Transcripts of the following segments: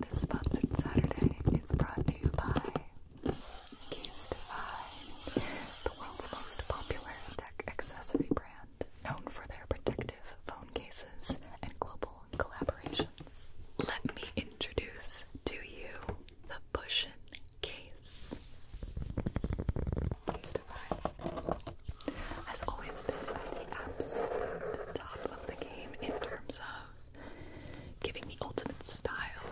This sponsored Saturday is brought to you by Case Divine, the world's most popular tech accessory brand, known for their protective phone cases and global collaborations. Let me introduce to you the Pushin case. Case Divine has always been at the absolute top of the game in terms of giving the ultimate style,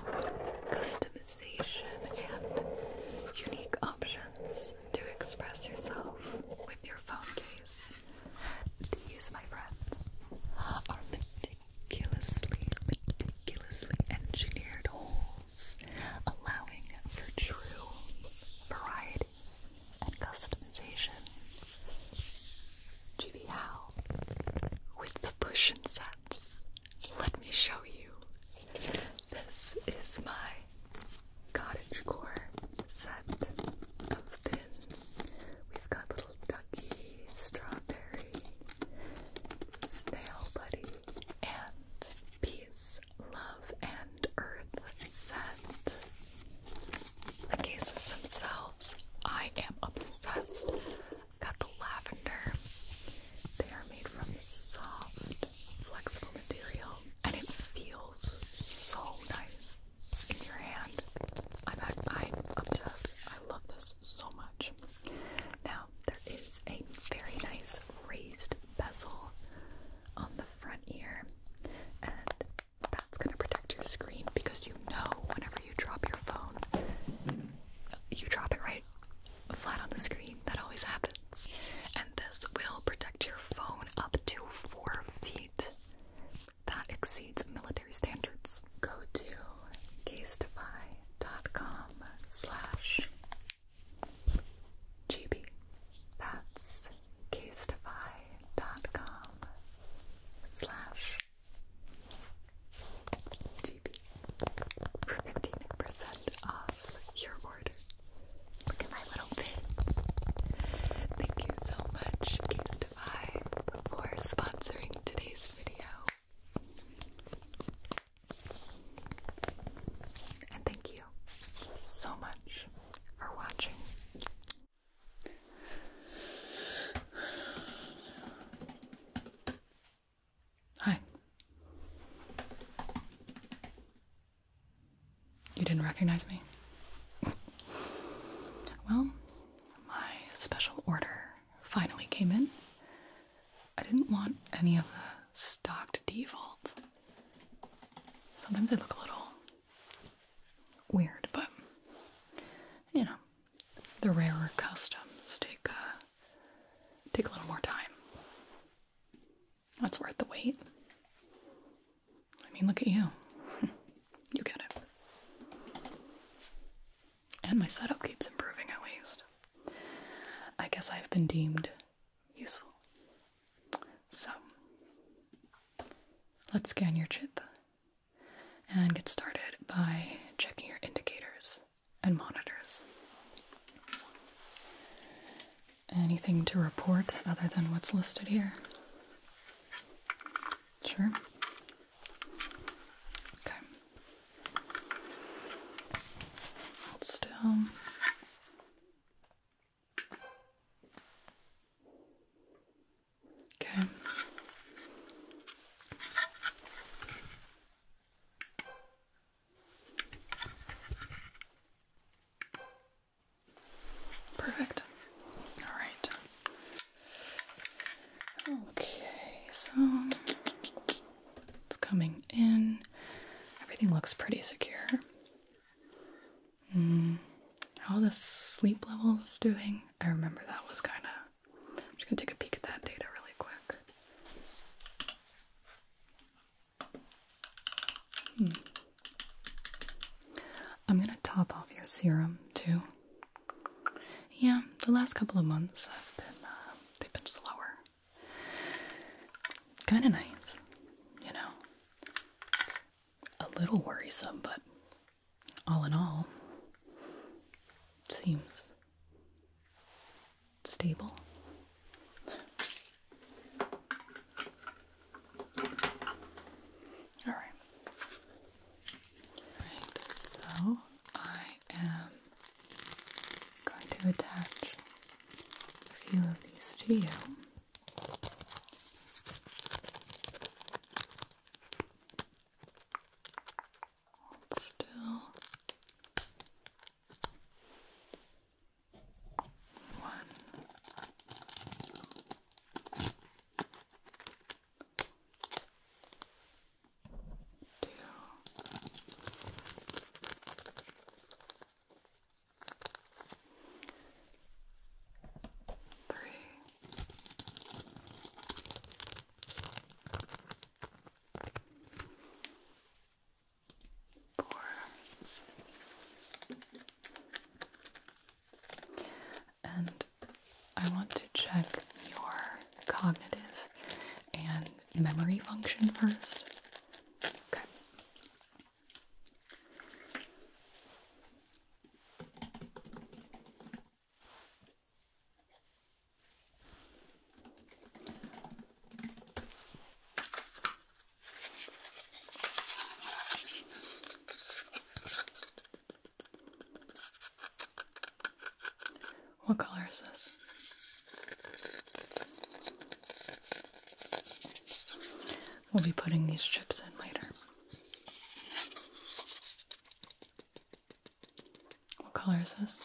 customization, and unique options to express yourself with your phone case. These, my friends, are meticulously, meticulously engineered holes, allowing for true variety and customization. Judy Howe with the push and sets. Let me show you. This is my cottage core set of pins. We've got little ducky, strawberry, snail buddy, and peace, love, and earth set the cases themselves, I am obsessed. Got the lavender. They are made from soft, flexible material, and it feels so nice in your hand. I'm, I'm obsessed. I love this so much. Now, there is a very nice raised bezel on the front ear, and that's gonna protect your screen because you know whenever you drop your phone, you drop it right flat on the screen. That always happens. And this will protect your phone up to four feet. That exceeds military standards. Go to casetify.com slash GB. That's casetify.com slash GB for 15% off your order. Look at my little pins. Thank you so much, Casetify, for sponsoring today's video. And thank you so much for watching. Hi. You didn't recognize me? well, my special order finally came in. I didn't want any of the stocked defaults. Sometimes they look a little weird, but you know, the rarer customs take uh, take a little more time. That's worth the wait. I mean, look at you. you get it. And my setup keeps improving at least. I guess I've been deemed useful. So, let's scan your chip and get started by checking your indicators and monitors. Anything to report other than what's listed here? Sure. Okay. still. Okay. Perfect. All right. Okay, so it's coming in. Everything looks pretty secure. Mm. how the sleep level's doing? I remember that was kind of. I'm just gonna take a peek at that data really quick. Hmm. I'm gonna top off your serum too. Yeah, the last couple of months have been uh, they've been slower. Kind of nice, you know. a little worrisome, but all in all, seems stable. All right. So I am going to attach a few of these to you. Hold still. One. Two. Three. And I want to check your cognitive and memory function first. Okay. What color is this? We'll be putting these chips in later. What color is this?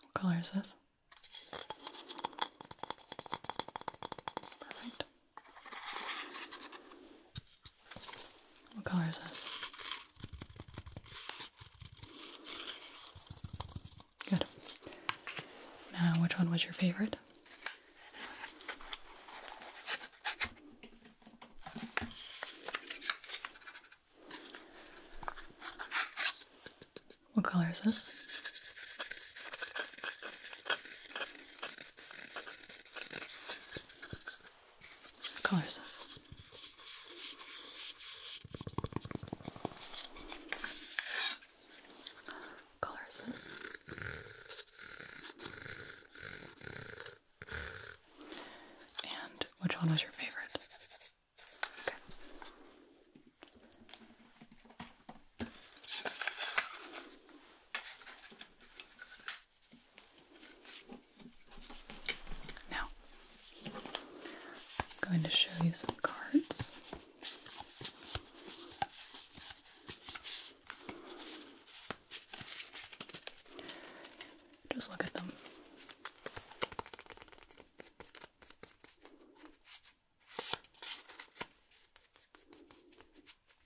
What color is this? Perfect. What color is this? Good. Now, which one was your favorite? What color is this? What color is this? And which one was your favorite? Now, I'm going to show you some cards. Just look at them.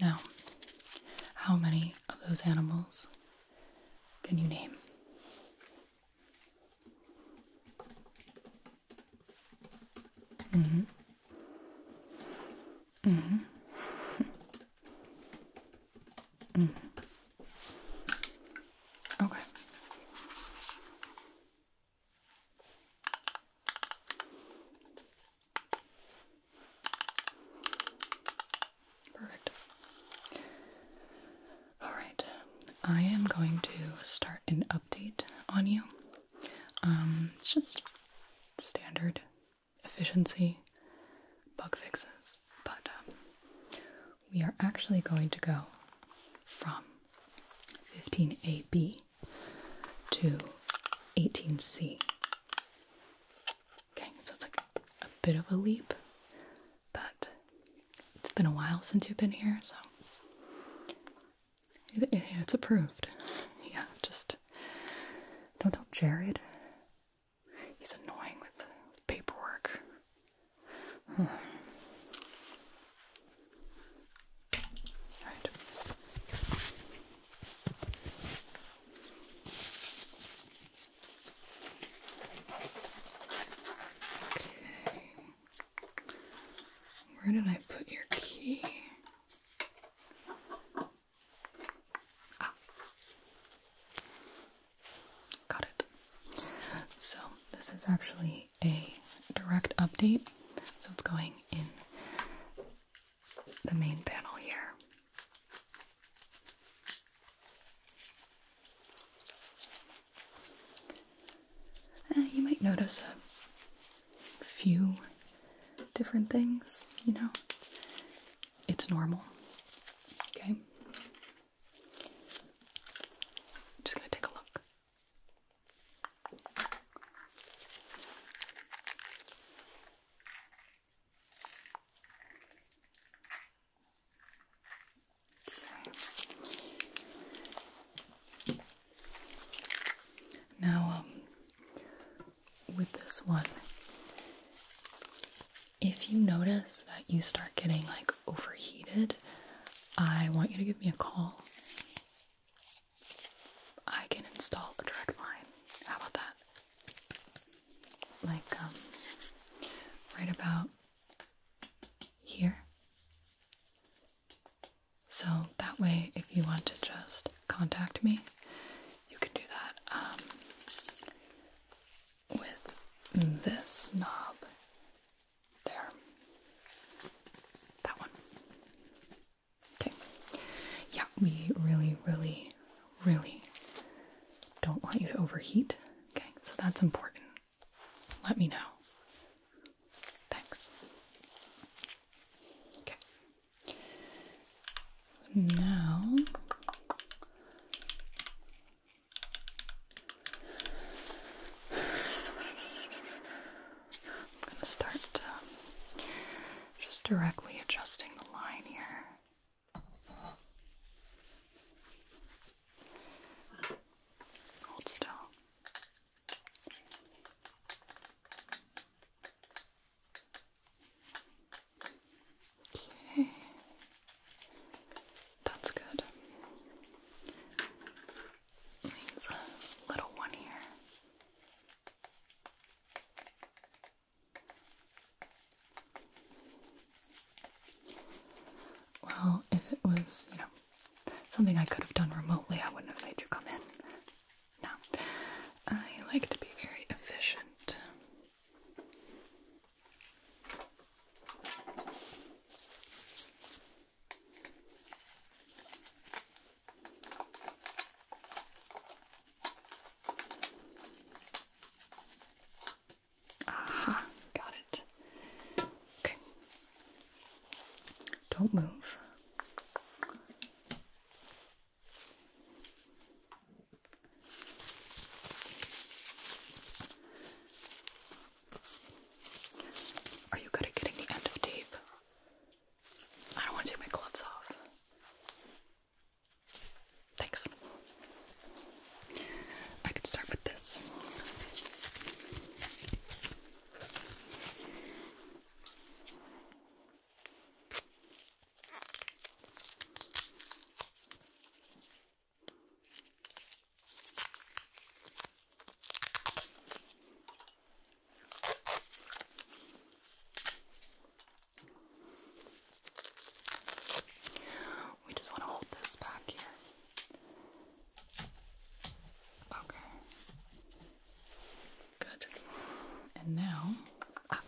Now, how many of those animals can you name? Mm-hmm. Mm-hmm. Mm-hmm. Okay. Perfect. All right, I am going to start an update on you. Um, just standard efficiency bug fixes, but um, we are actually going to go from 15AB to 18C. Okay, so it's like a bit of a leap, but it's been a while since you've been here, so it's approved. Yeah, just don't tell Jared. He's annoying with paperwork. Where did I put your key? Ah. Got it. So, this is actually a direct update. So it's going in the main panel here. Eh, you might notice a few different things, you know. It's normal. Okay. just gonna take a look. Now, um, with this one, if you notice that you start getting like overheated, I want you to give me a call. I can install a direct line. How about that? Like, um, right about here. So that way, if you want to just contact me, you can do that um, with this knob there. That one. Okay. Yeah, we really, really, really don't want you to overheat. Okay, so that's important. Let me know. Thanks. Okay. Now I'm going to start um, just directly adjusting the line here. Hold still. Okay. That's good. Seems a little one here. Well, if it was, you know, something I could have done remotely, I wouldn't have made you come in. No. I like to be very efficient. Aha, got it. Okay. Don't move. Are you good at getting the end of tape? I don't want to take my gloves off. Thanks. I could start with this. We just want to hold this back here. Okay. Good. And now, ah,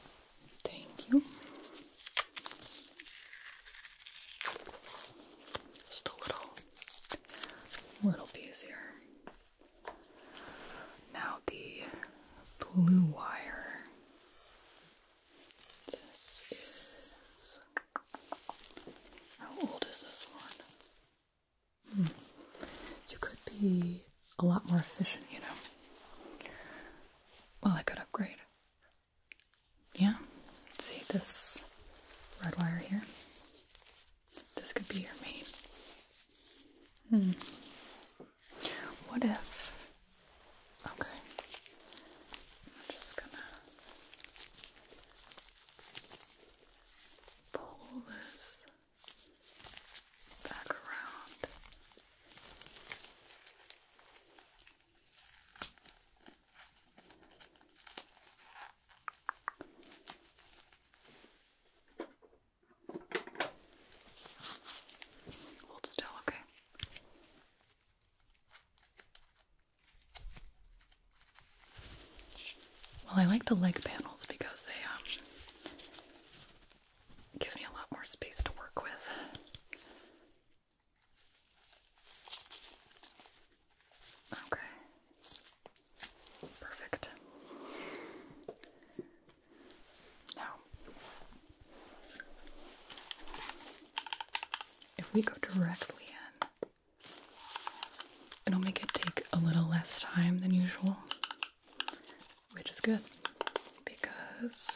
thank you. Just a little a little bit easier. Now the blue wire. This is how old is this one? Hmm. You could be a lot more efficient, you know. Well, I could upgrade. Yeah, see this red wire here? This could be your mate. Hmm. What if? Okay. I'm just gonna pull this back around. Hold still, okay. Well, I like the leg panels because they um, give me a lot more space to work with. Okay. Perfect. Now, if we go directly in, it'll make it take a little less time than usual, which is good because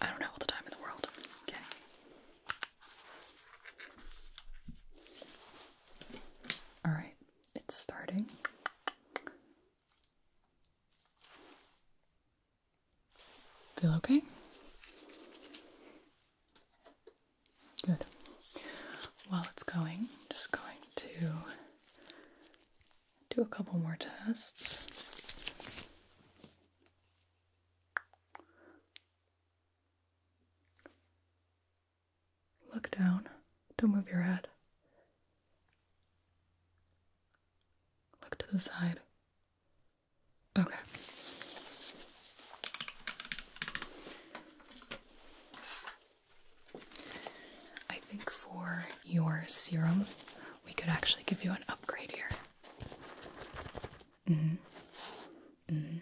I don't have all the time in the world. Okay. All right, it's starting. Feel okay? Good. While it's going, I'm just going to do a couple more tests. Look down. Don't move your head. Look to the side. Okay. I think for your serum, we could actually give you an upgrade here. -hmm. -hmm.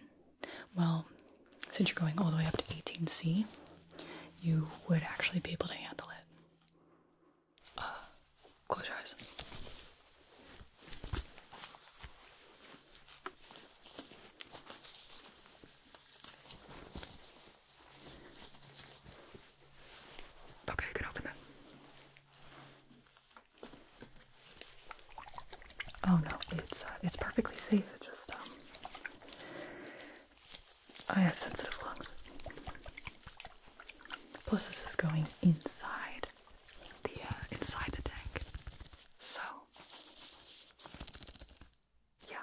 Well, since you're going all the way up to 18C, you would actually be able to handle it. Uh, close your eyes. Okay, you open them. Oh no, it's uh, it's perfectly safe. It just um, I have sensitive lungs. Plus, this is going inside the uh, inside the tank, so yeah.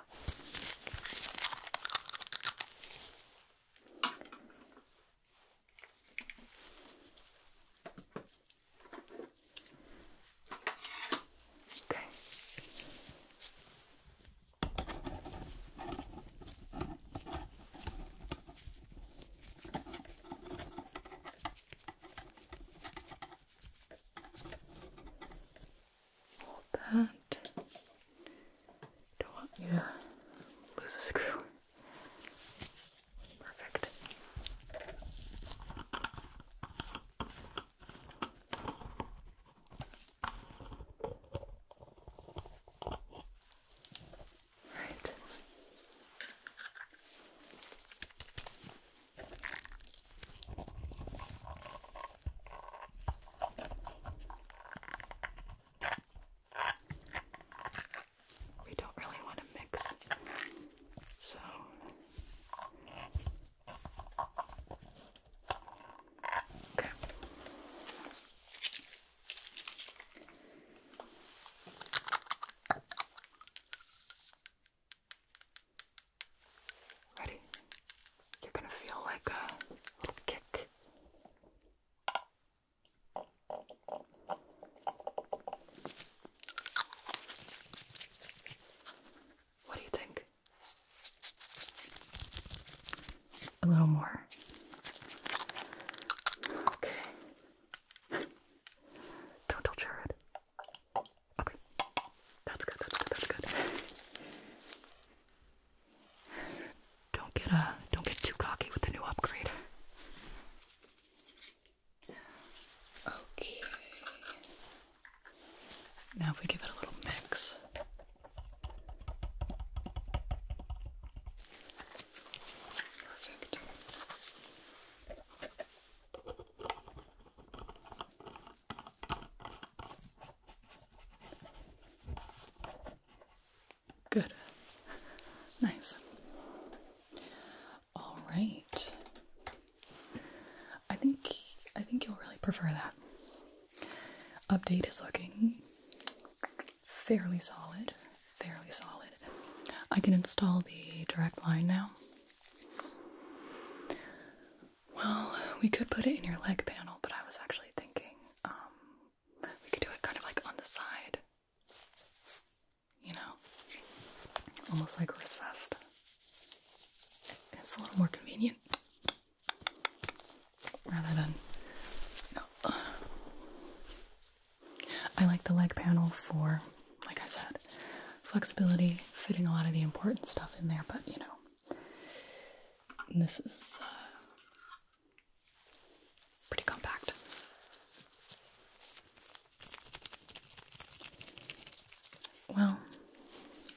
Okay. Hold that. Don't want you to lose a screw. Perfect. Right we don't really want to mix. So Ready? You're gonna feel like a little kick. What do you think? A little more. Okay. Don't tell Jared. Okay. That's good, that's good, Don't get uh don't get too cocky with the new upgrade. Okay. Now, if we give it a little mix. Good. Nice. All right. I think I think you'll really prefer that. Update is looking fairly solid, fairly solid. I can install the direct line now. Well, we could put it in your leg panel, but I was actually thinking um, we could do it kind of like on the side you know, almost like recessed. It's a little more convenient rather than, you know. I like the leg panel for, like I said, flexibility, fitting a lot of the important stuff in there, but you know, this is uh, Pretty compact. Well,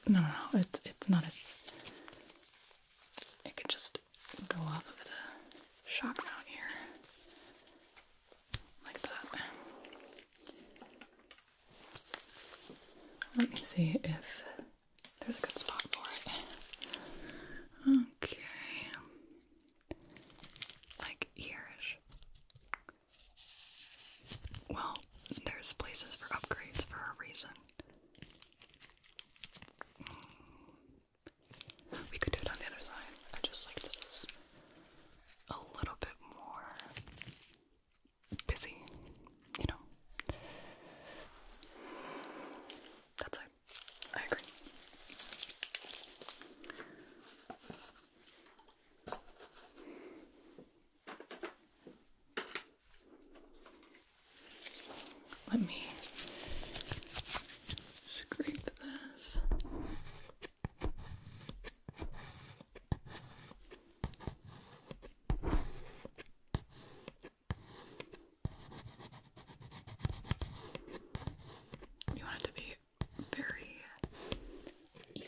no, no, no. It's it's not as. It could just go off of the shock mount here, like that. Let me see if there's a good spot for it. Okay like years. Well, there's places for upgrades for a reason. Hmm. We could do it on the other side. I just like this is a little bit more busy, you know. That's it. Let me scrape this. You want it to be very even.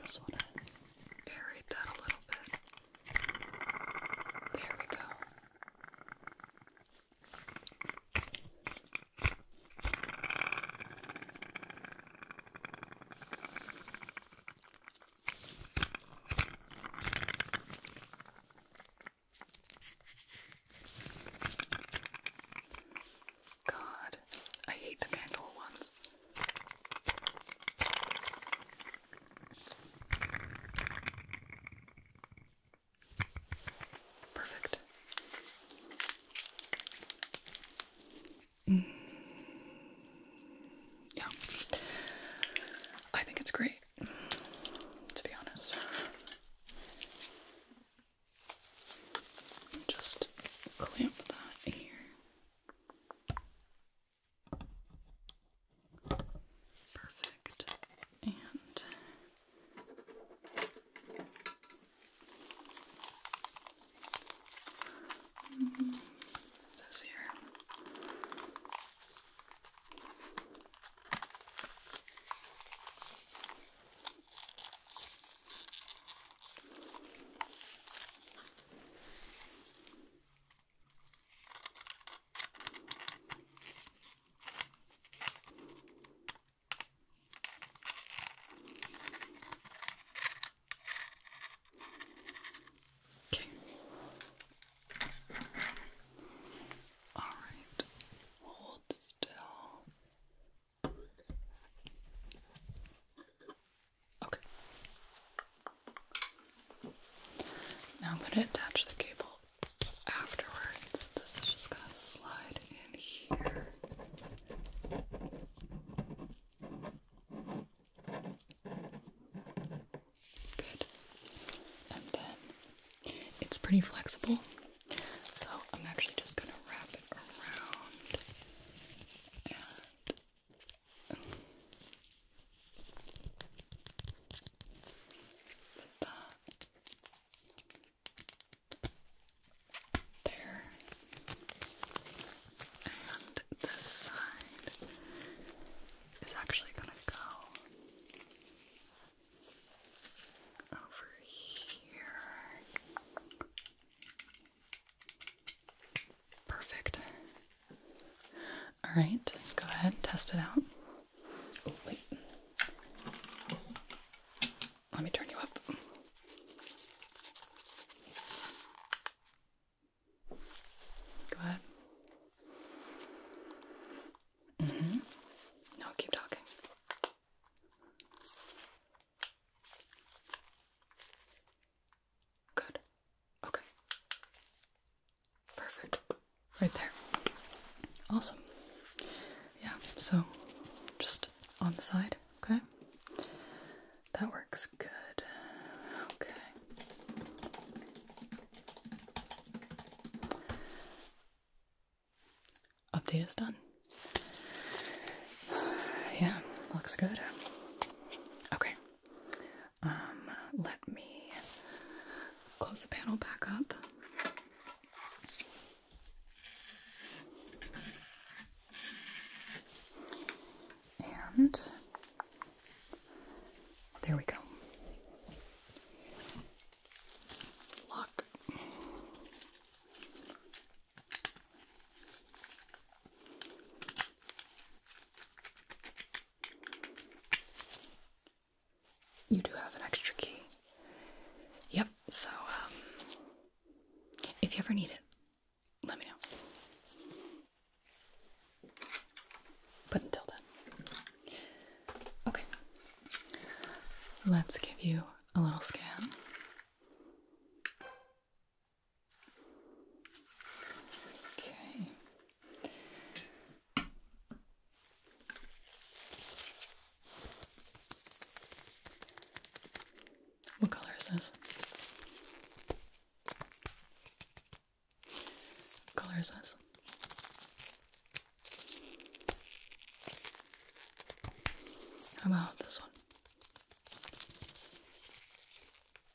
Just want to aerate that a little bit. There we go. God, I hate the candle ones. Perfect. Mm. Yeah. I think it's great, to be honest. Just clamp that here. Perfect. And this here. Okay. All right. Hold still. Okay. Now I'm going to attach the cable afterwards. This is just going to slide in here. Good. And then it's pretty flexible, so I'm actually just going to wrap it around with that there and this side is actually going to go over here Perfect. All right, go ahead, test it out. Oh, wait. Let me turn you up. Go ahead. hmm No, keep talking. Good. Okay. Perfect. Right there. Awesome. Yeah, so just on the side, okay? That works good. Okay. Update is done. Yeah, looks good. Okay. Um, let me close the panel back up. And there we go. Lock. You do have an extra key. Yep, so um, if you ever need it, let me know. But until then. Okay. Let's give you a little scan. Okay. What color is this? What color is this? How about this one?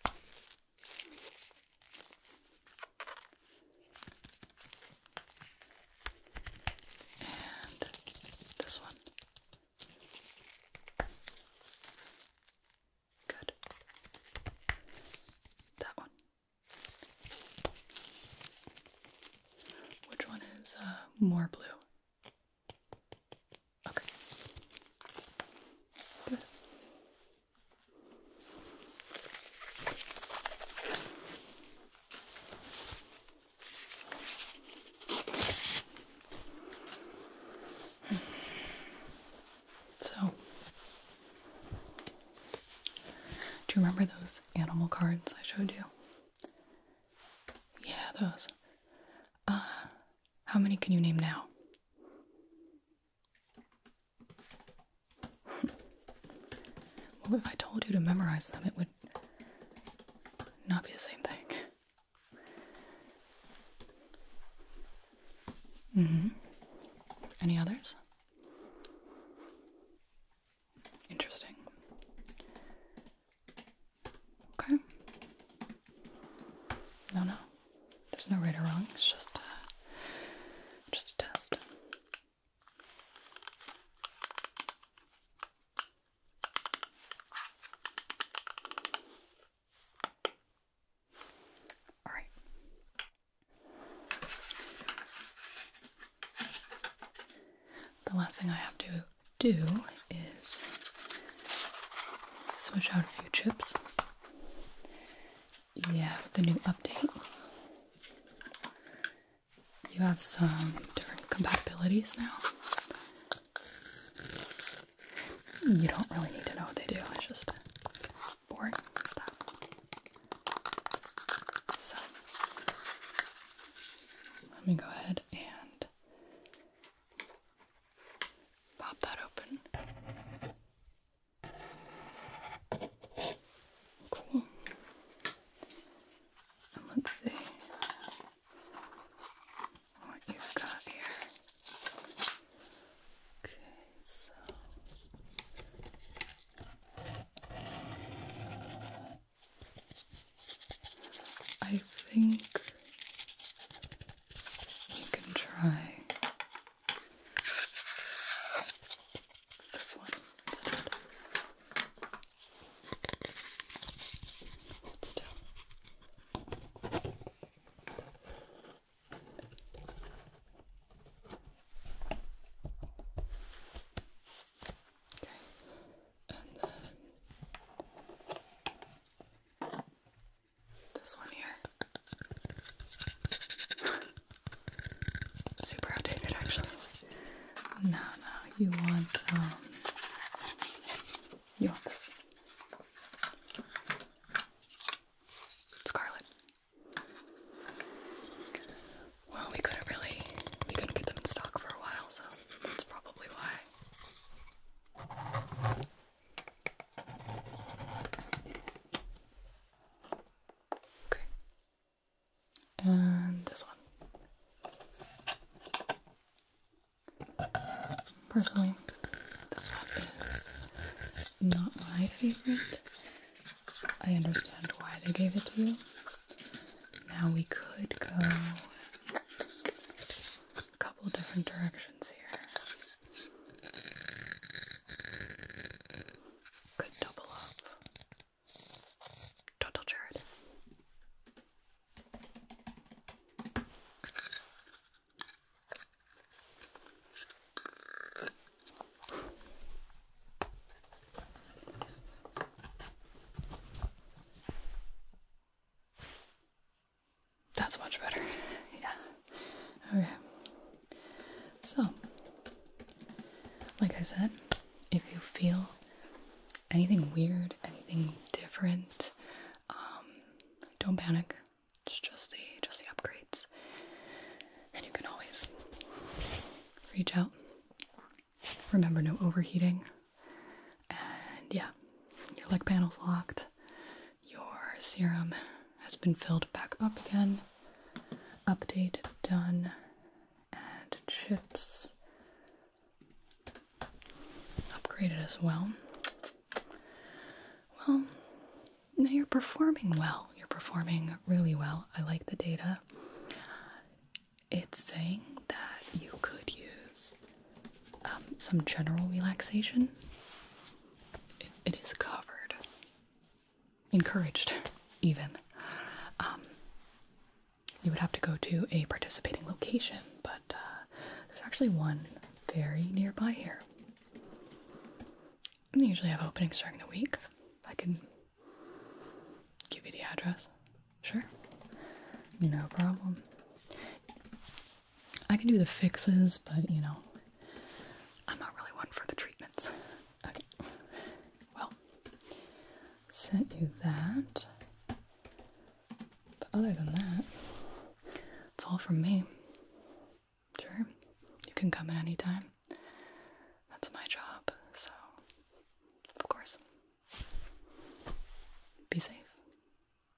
And this one. Good. That one. Which one is uh, more blue? Okay. Good. So, do you remember those animal cards I showed you? Yeah, those. Uh, how many can you name now? well, if I told you to memorize them, it would not be the same thing. Mm-hmm. Any others? Interesting. Okay. No, no. There's no right or wrong. It's just, uh, just a test. All right. The last thing I have to do is switch out a few chips. Yeah, with the new update, you have some different compatibilities now. You don't really need to know what they do, it's just boring stuff. So, let me go ahead and Pop that open. Cool. let's see what you've got here. Okay, so. I think you can try this one instead. still. Okay, and then this one here. Super outdated, actually. No, no, you want, um, you want this. Scarlet. Well, we couldn't really, we couldn't get them in stock for a while, so that's probably why. Okay. And this one. Personally, this one is not my favorite. I understand why they gave it to you. Now we could go a couple different directions here. Could double up. Total turret. That's much better. Yeah. Okay. So, like I said, if you feel anything weird, anything different, um, don't panic. just the just the upgrades, and you can always reach out. Remember, no overheating. And yeah, your leg panel's locked. Your serum has been filled back up again. Update done. And chips upgraded as well. Well, now you're performing well. You're performing really well. I like the data. It's saying that you could use um, some general relaxation. it is covered, encouraged, even. Um, you would have to go to a participating location, but uh, there's actually one very nearby here. they usually have openings during the week. I can give you the address. Sure. No problem. I can do the fixes, but you know, I'm not really one for the treatments. Okay, well, sent you that. But other than that, it's all from me. Sure, you can come at any time. That's my job, so of course. Be safe.